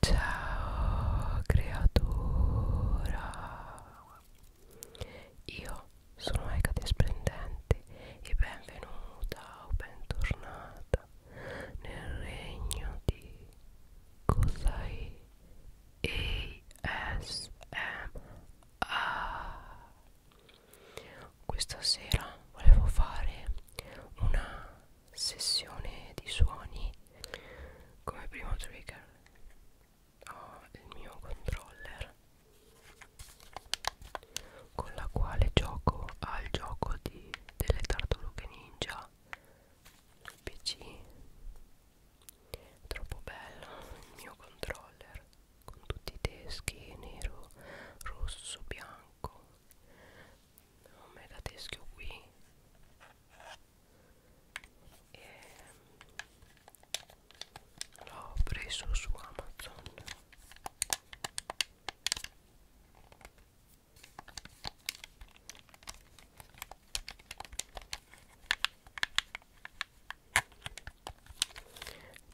Ciao creatura, io sono Ecate Splendente e benvenuta o bentornata nel regno di Cosai ASMR. Questa sera volevo fare una sessione di suoni come primo trigger ho il mio controller con la quale gioco al gioco di, delle tartarughe ninja sul pc troppo bello il mio controller con tutti i teschi nero rosso bianco un mega teschio qui e mm, l'ho preso su Amazon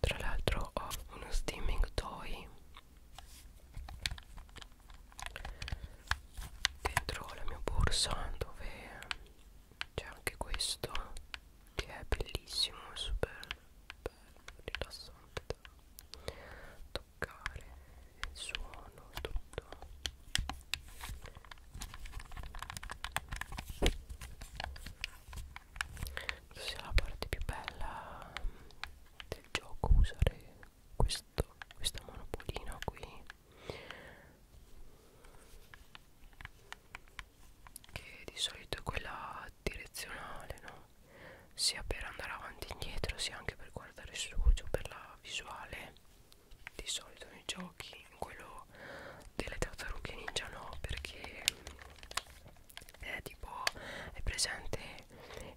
tra l'altro ho uno steaming toy dentro la mia borsa dove c'è anche questo che è bellissimo è super bello rilassante da toccare il suono tutto questa è la parte più bella del gioco usare questo, questa monopolina qui che di solito è quella direzionale no? sia per andare avanti e indietro sia anche per guardare su giù per la visuale di solito nei giochi in quello delle tartarughe ninja no perché è eh, tipo è presente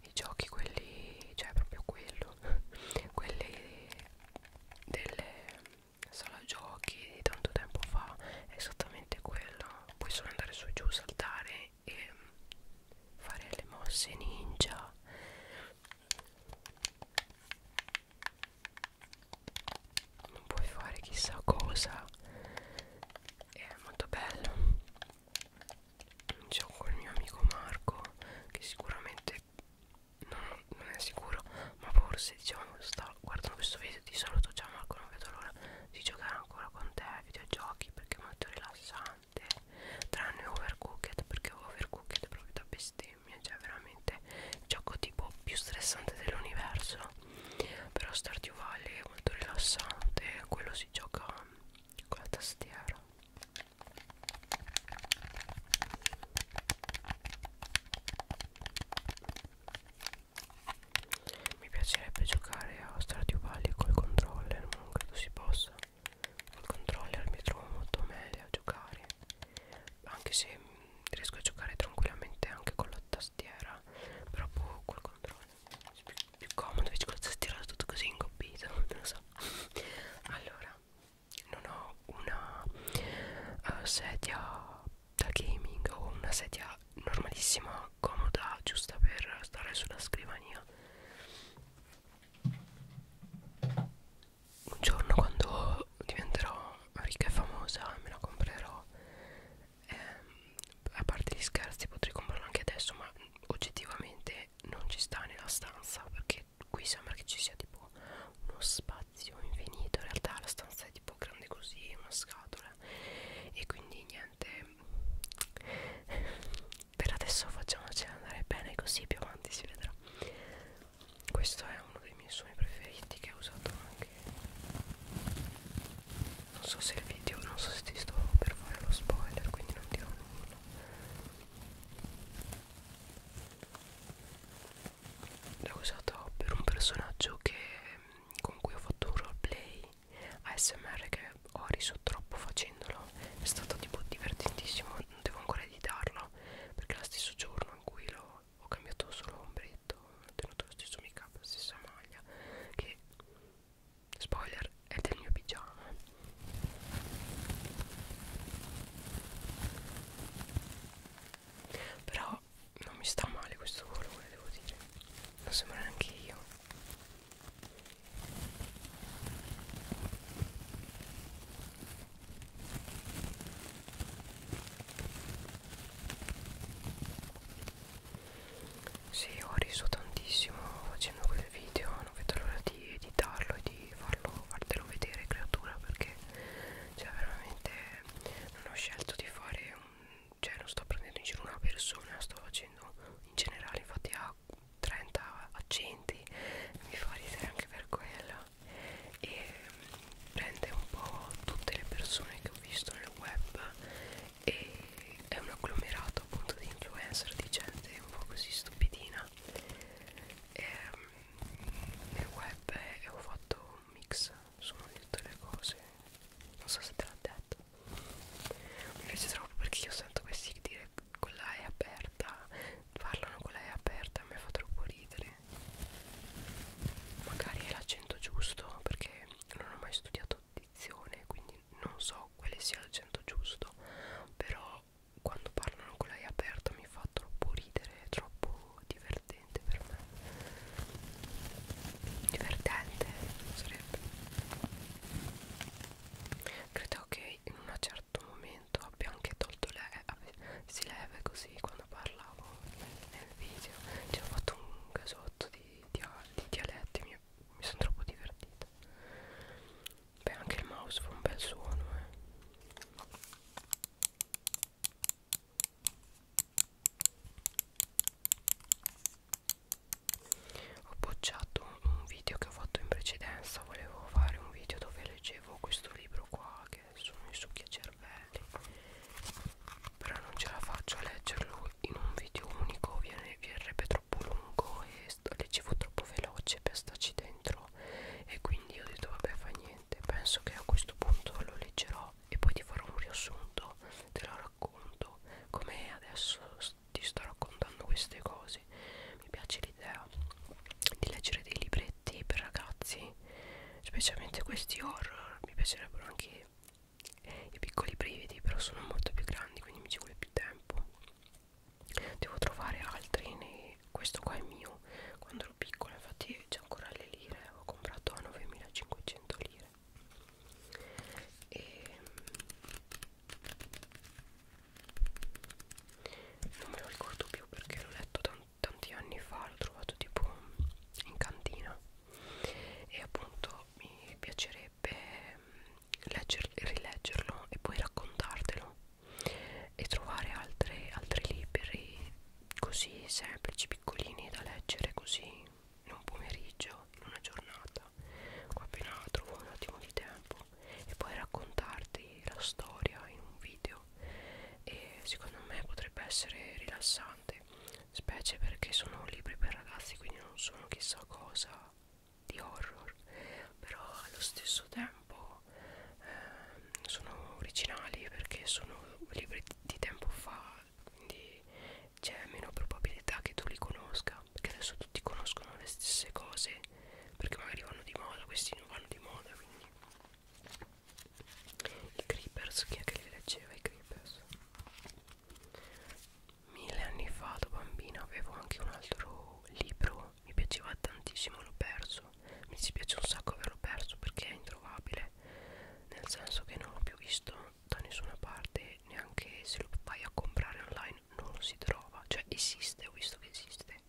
i giochi quelli cioè proprio quello quelli delle sala giochi di tanto tempo fa è esattamente quello puoi solo andare su e giù saltare e fare le mosse ninja non puoi fare chissà cosa è molto bello gioco con il mio amico Marco che sicuramente non, non è sicuro ma forse diciamo sta guardando questo video di saluto ciao Marco non vedo l'ora di giocare ancora con te ai videogiochi perché è molto rilassante tranne Overcooked perché Overcooked è proprio da bestemmia cioè veramente gioco tipo più stressante dell'universo però Stardew Valley è molto rilassante quello si gioca con la tastiera mi piacerebbe giocare a Stardew Valley col controller ma non credo si possa col controller mi trovo molto meglio a giocare anche se riesco a giocare tranquillamente anche con la tastiera però boh, col controller più, più comodo invece cosa stirato tutto così ingobbito non lo so allora non ho una uh, sedia da gaming o una sedia normalissima comoda giusta per stare sulla scrivania un giorno quando diventerò ricca e famosa me la comprerò ehm, a parte gli scherzi potrei comprarlo anche adesso ma oggettivamente non ci sta nella stanza perché qui sembra che ci sia tipo uno spazio infinito in realtà la stanza è tipo grande così una scatola e quindi niente per adesso facciamoci andare bene così più avanti si vedrà questo è uno dei miei suoni preferiti che ho usato anche che non so se il video non so se ti sto per fare lo spoiler quindi non dirò nulla l'ho usato per un personaggio che, con cui ho fatto un roleplay ASMR che ho riso troppo facendolo è stato tipo divertentissimo non devo ancora editarlo perché è lo stesso giorno in cui l'ho ho cambiato solo ombretto tenuto lo stesso make up la stessa maglia che spoiler è del mio pigiama però non mi sta male questo colore devo dire non sembra neanche io sì, ho riso tantissimo facendo quel video, non vedo l'ora di editarlo e di farlo, fartelo vedere creatura perché cioè veramente non ho scelto di fare un, cioè non sto prendendo in giro una persona, sto facendo in generale infatti a 30 accenti mi fa ridere anche per quello e prende un po' tutte le persone che ho visto nel web e è un agglomerato appunto di influencer, di gente un po' così stupidina e, ehm, nel web e ho fatto un mix, sono tutte le cose, non so se te l'ho detto mi piace troppo perché io sento questi dire con la E aperta parlano con la E aperta mi fa troppo ridere magari è l'accento giusto perché non ho mai studiato audizione quindi non so quale sia l'accento giusto però quando parlano con lei aperta mi fa troppo ridere è troppo divertente per me divertente sarebbe credo che in un certo momento abbia anche tolto lei eh, si leva così quando parla parlavo nel, nel video cioè ho fatto un casotto di, di, di dialetti mi, mi sono troppo divertita beh anche il mouse fa un bel suono eh ho appoggiato un video che ho fatto in precedenza volevo fare un video dove leggevo questo libro qua che che sono i succhiacervelli però non ce la faccio a leggerlo in un video unico viene, verrebbe troppo lungo e sto, leggevo troppo veloce per starci dentro e quindi ho detto vabbè fa niente penso che a questo punto lo leggerò e poi ti farò un riassunto te lo racconto come adesso ti sto raccontando queste cose mi piace l'idea di leggere dei libri fumetti per ragazzi specialmente questi horror mi piacerebbero anche i piccoli brividi però sono molto più grandi quindi mi ci vuole più tempo devo trovare altri nei... questo qua è mio quando ero piccola infatti c'è ancora le lire ho comprato a 9500 lire e ehm, non me lo ricordo più perché l'ho letto tanto tanti anni fa l'ho trovato tipo in cantina e appunto mi piacerebbe mm, legger, rileggerlo e poi raccontartelo e trovare altre, altri libri così semplici, piccolini da leggere così in un pomeriggio, in una giornata qua appena trovo un attimo di tempo e poi raccontarti la storia in un video e secondo me potrebbe essere rilassante specie perché sono libri per ragazzi quindi non sono chissà cosa di horror però allo stesso tempo eh, sono originali perché sono libri di tempo fa quindi c'è meno probabilità che tu li conosca perché adesso tutti conoscono le stesse cose perché magari vanno di moda questi non vanno di moda quindi i creepers, chi è che li leggeva i creepers? Mille anni fa da bambina avevo anche un altro libro, mi piaceva tantissimo, l'ho perso. Mi dispiace un sacco averlo perso perché è introvabile, nel senso che non l'ho più visto da nessuna parte, neanche se lo vai a comprare online non lo si trova, cioè esiste, ho visto che esiste,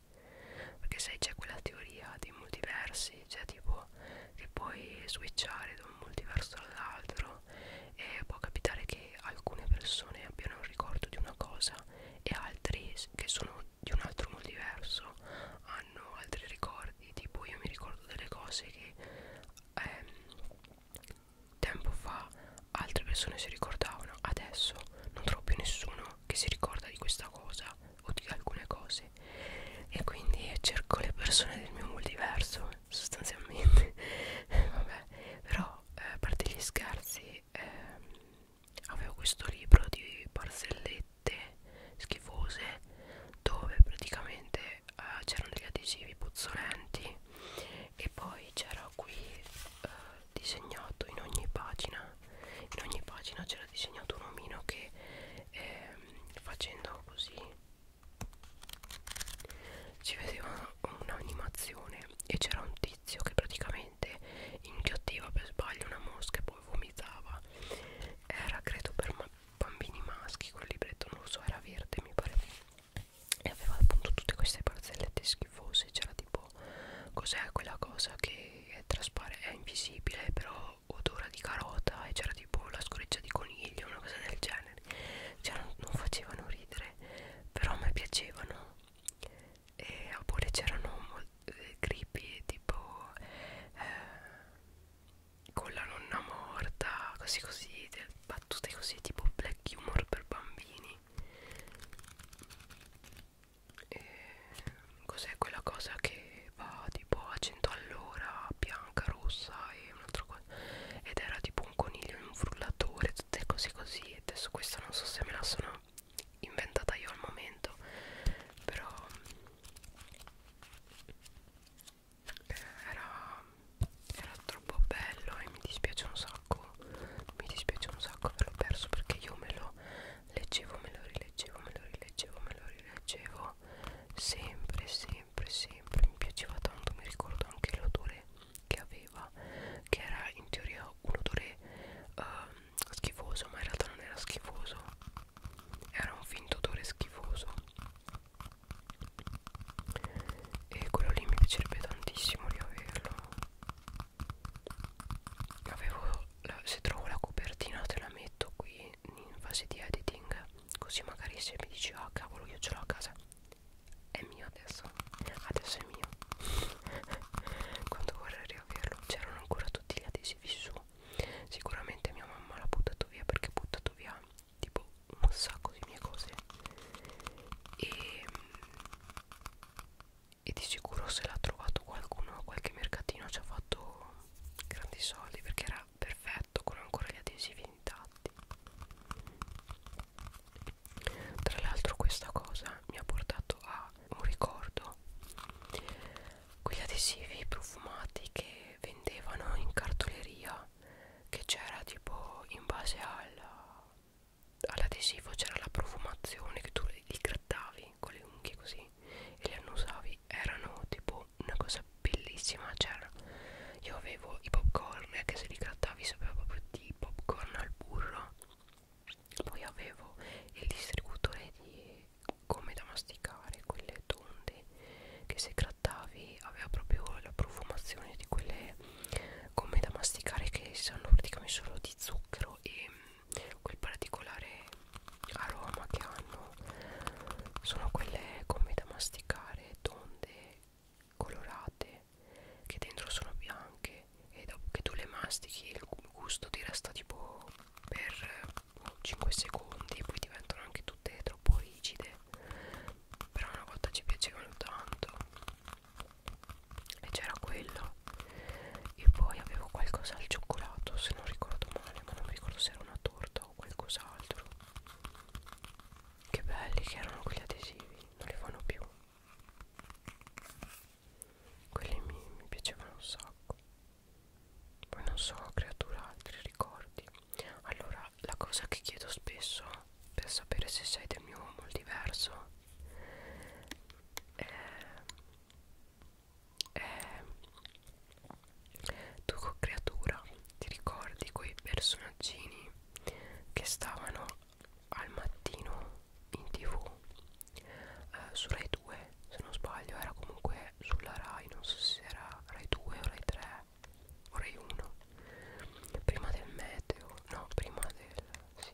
perché sai c'è quella teoria dei multiversi cioè tipo che puoi switchare da un multiverso all'altro e può capitare che alcune persone abbiano un ricordo di una cosa e altri che sono di un altro multiverso hanno altri ricordi tipo io mi ricordo delle cose che ehm, tempo fa altre persone si ricordavano adesso non trovo più nessuno che si ricorda di questa cosa o di alcune cose e quindi cerco le persone del mio multiverso sostanzialmente vabbè però eh, a parte gli scherzi ehm, avevo questo libro di barzellette schifose dove praticamente eh, c'erano degli adesivi puzzolenti e poi c'era qui eh, disegnato in ogni pagina in ogni pagina c'era disegnato un omino che ehm, facendo così ci vedeva un'animazione e c'era un tizio che praticamente inghiottiva per sbaglio una mosca e poi vomitava era credo per ma bambini maschi quel libretto non lo so era verde mi pare e aveva appunto tutte queste barzellette schifose c'era tipo po' cos'è quella cosa che è trasparente, è invisibile però odora di carota e c'era tipo la scoreggia di coniglio, una cosa del genere cioè non, non facevano ridere però a me piacevano e oppure c'erano eh, creepy tipo eh, con la nonna morta così così battute così tipo black humor per bambini cos'è quella cosa che va tipo a 100 all'ora bianca rossa e un'altra cosa ed era tipo un coniglio in un frullatore tutte cose così e adesso questa non so se me la sono inventata io al momento però era, era troppo bello e mi dispiace un sacco sacco mi dispiace un sacco averlo perso perché io me lo leggevo me lo rileggevo me lo rileggevo me lo rileggevo sempre sempre sempre mi piaceva tanto mi ricordo anche l'odore che aveva che era in teoria un odore uh, schifoso ma in realtà non era schifoso era un finto odore schifoso e quello lì mi piacerebbe tantissimo riaverlo avevo la, se trovo la copertina te la metto qui in fase di editing così magari se mi dici ah oh, cavolo io ce l'ho a casa è mio adesso adesso è mio quando vorrei riaverlo c'erano ancora tutti gli adesivi su sicuramente mia mamma l'ha buttato via perché ha buttato via tipo un sacco di mie cose e e di sicuro se l'ha trovato qualcuno a qualche mercatino ci ha fatto grandi soldi perché era perfetto con ancora gli adesivi intatti tra l'altro questa cosa mi ha portato a un ricordo quegli adesivi profumati che vendevano in cartoleria che c'era tipo in base alla all'adesivo c'era la profumazione che tu li grattavi con le unghie così e li annusavi erano tipo una cosa bellissima c'era cioè, io avevo i popcorn che se li grattavi sapeva proprio di popcorn al burro poi avevo il distributore di come da masticare quelle tonde che se grattavi aveva proprio la profumazione di quelle gomme da masticare che sono praticamente solo di zucchero e mm, quel particolare aroma che hanno sono quelle gomme da masticare tonde colorate che dentro sono bianche e dopo che tu le mastichi il gusto ti resta tipo per 5 boh, secondi poi diventano anche tutte troppo rigide però una volta ci piacevano tanto e c'era quello e poi avevo qualcosa al cioccolato se non ricordo male ma non mi ricordo se era una torta o qualcos'altro che belli che erano quegli adesivi non li fanno più quelli mi, mi piacevano un sacco poi non so creatura altri ricordi allora la cosa che chiedo spesso per sapere se sei del mio mondo diverso eh, eh, tu creatura ti ricordi quei personaggini che stavano al mattino in tv eh, su Rai 2 se non sbaglio era comunque sulla Rai non so se era Rai 2 o Rai 3 o Rai 1 prima del meteo no prima del sì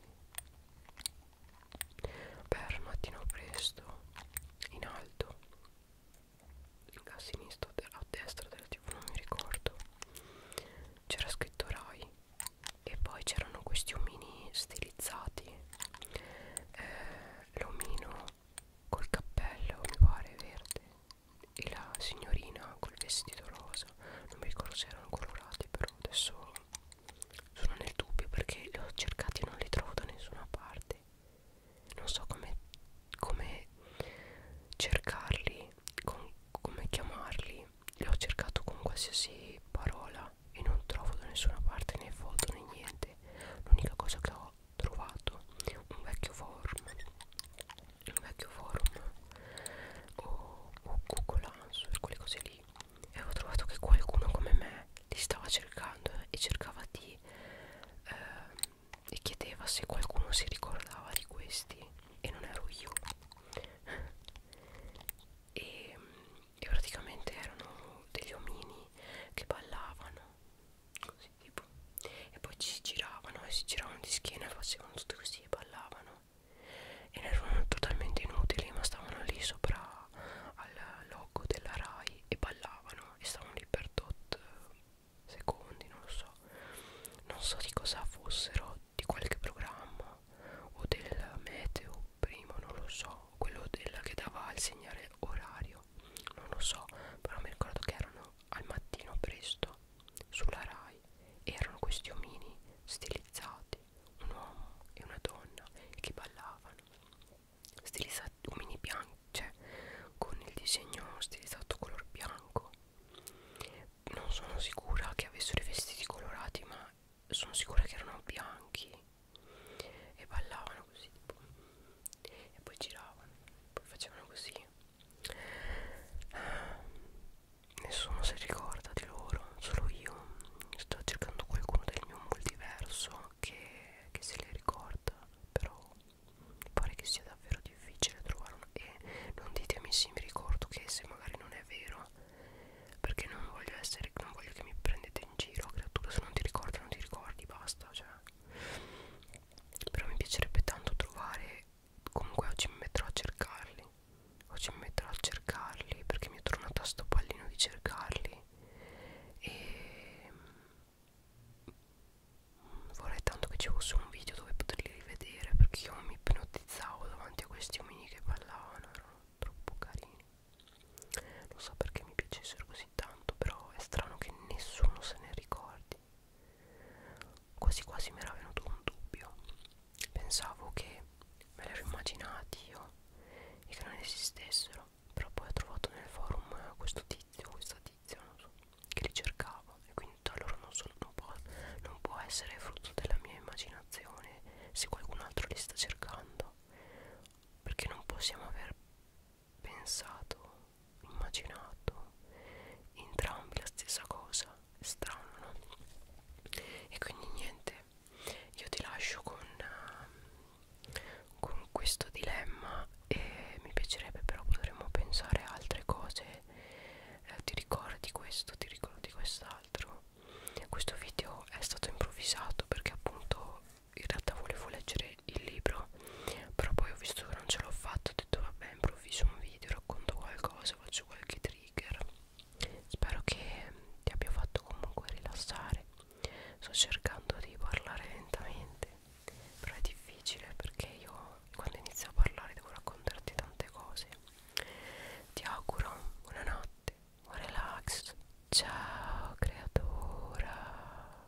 per mattino presto in alto a sinistra a destra del tv non mi ricordo c'era scritto Rai e poi c'erano questi omini stilizzati eh, l'omino col cappello mi pare verde e la signorina col vestito rosa non mi ricordo se erano colorati però adesso sono nel dubbio perché li ho cercati e non li trovo da nessuna parte non so come come cercarli con, come chiamarli li ho cercato con qualsiasi parola e non trovo da nessuna parte né foto né niente l'unica cosa che ho trovato un vecchio forum il vecchio forum o, o Google Answer, quelle cose lì e avevo trovato che qualcuno come me li stava cercando eh, e cercava di eh, e chiedeva se qualcuno si ricordava di questi e non ero io e, e praticamente erano degli omini che ballavano così tipo tipo e poi ci giravano e si giravano di schiena e facevano tutto così e ballavano e ne erano totalmente inutili ma stavano lì sopra al logo della Rai e ballavano e stavano lì per tot eh, secondi non lo so non so di cosa fossero di qualche programma o del meteo primo non lo so quello del, che dava il segnale orario non lo so però mi ricordo che erano al mattino presto sulla Rai erano questi omini stilizzati, un uomo e una donna che ballavano, stilizzati omini bianchi, cioè con il disegno stilizzato color bianco. Non sono sicura che avessero i vestiti colorati, ma sono sicura che erano bianchi e ballavano così tipo. e poi giravano, poi facevano così Nessuno si ricorda di loro, solo io sto cercando qualcuno del mio multiverso che, che se le ricorda, però mi pare che sia davvero difficile trovare una... E non ditemi sì, mi ricordo che se magari non è vero, perché non voglio essere, non voglio che mi prendete in giro, creatura, se non ti ricordi non ti ricordi, basta, cioè però mi piacerebbe tanto trovare comunque oggi mi metterò a cercarli oggi mi metterò a cercarli perché mi è tornata sto pallino di cercarli e mm, vorrei tanto che ci fosse un video dove poterli rivedere perché io mi ipnotizzavo davanti a questi omini che ballavano erano troppo carini non so perché mi piacessero così tanto però è strano che nessuno se ne ricordi Quasi quasi mi era venuto un dubbio. Pensavo che me li ero immaginati io e che non esistessero. Però poi ho trovato nel forum questo tizio, questa tizia, non so, che li cercavo. E quindi da loro non, sono, non, può, non può essere frutto della mia immaginazione se qualcun altro li sta cercando. Perché non possiamo aver pensato, immaginato entrambi la stessa cosa, è strano no? E quindi niente, io ti lascio con, uh, con questo dilemma e mi piacerebbe però potremmo pensare a altre cose, eh, ti ricordi questo, ti ricordi quest'altro. Questo video è stato improvvisato perché appunto in realtà volevo leggere il libro però poi ho visto che non ce l'ho fatto ho detto vabbè improvviso un video racconto qualcosa faccio qualche trigger spero che ti abbia fatto comunque rilassare sto cercando di parlare lentamente però è difficile perché io quando inizio a parlare devo raccontarti tante cose ti auguro buonanotte buon relax ciao creatura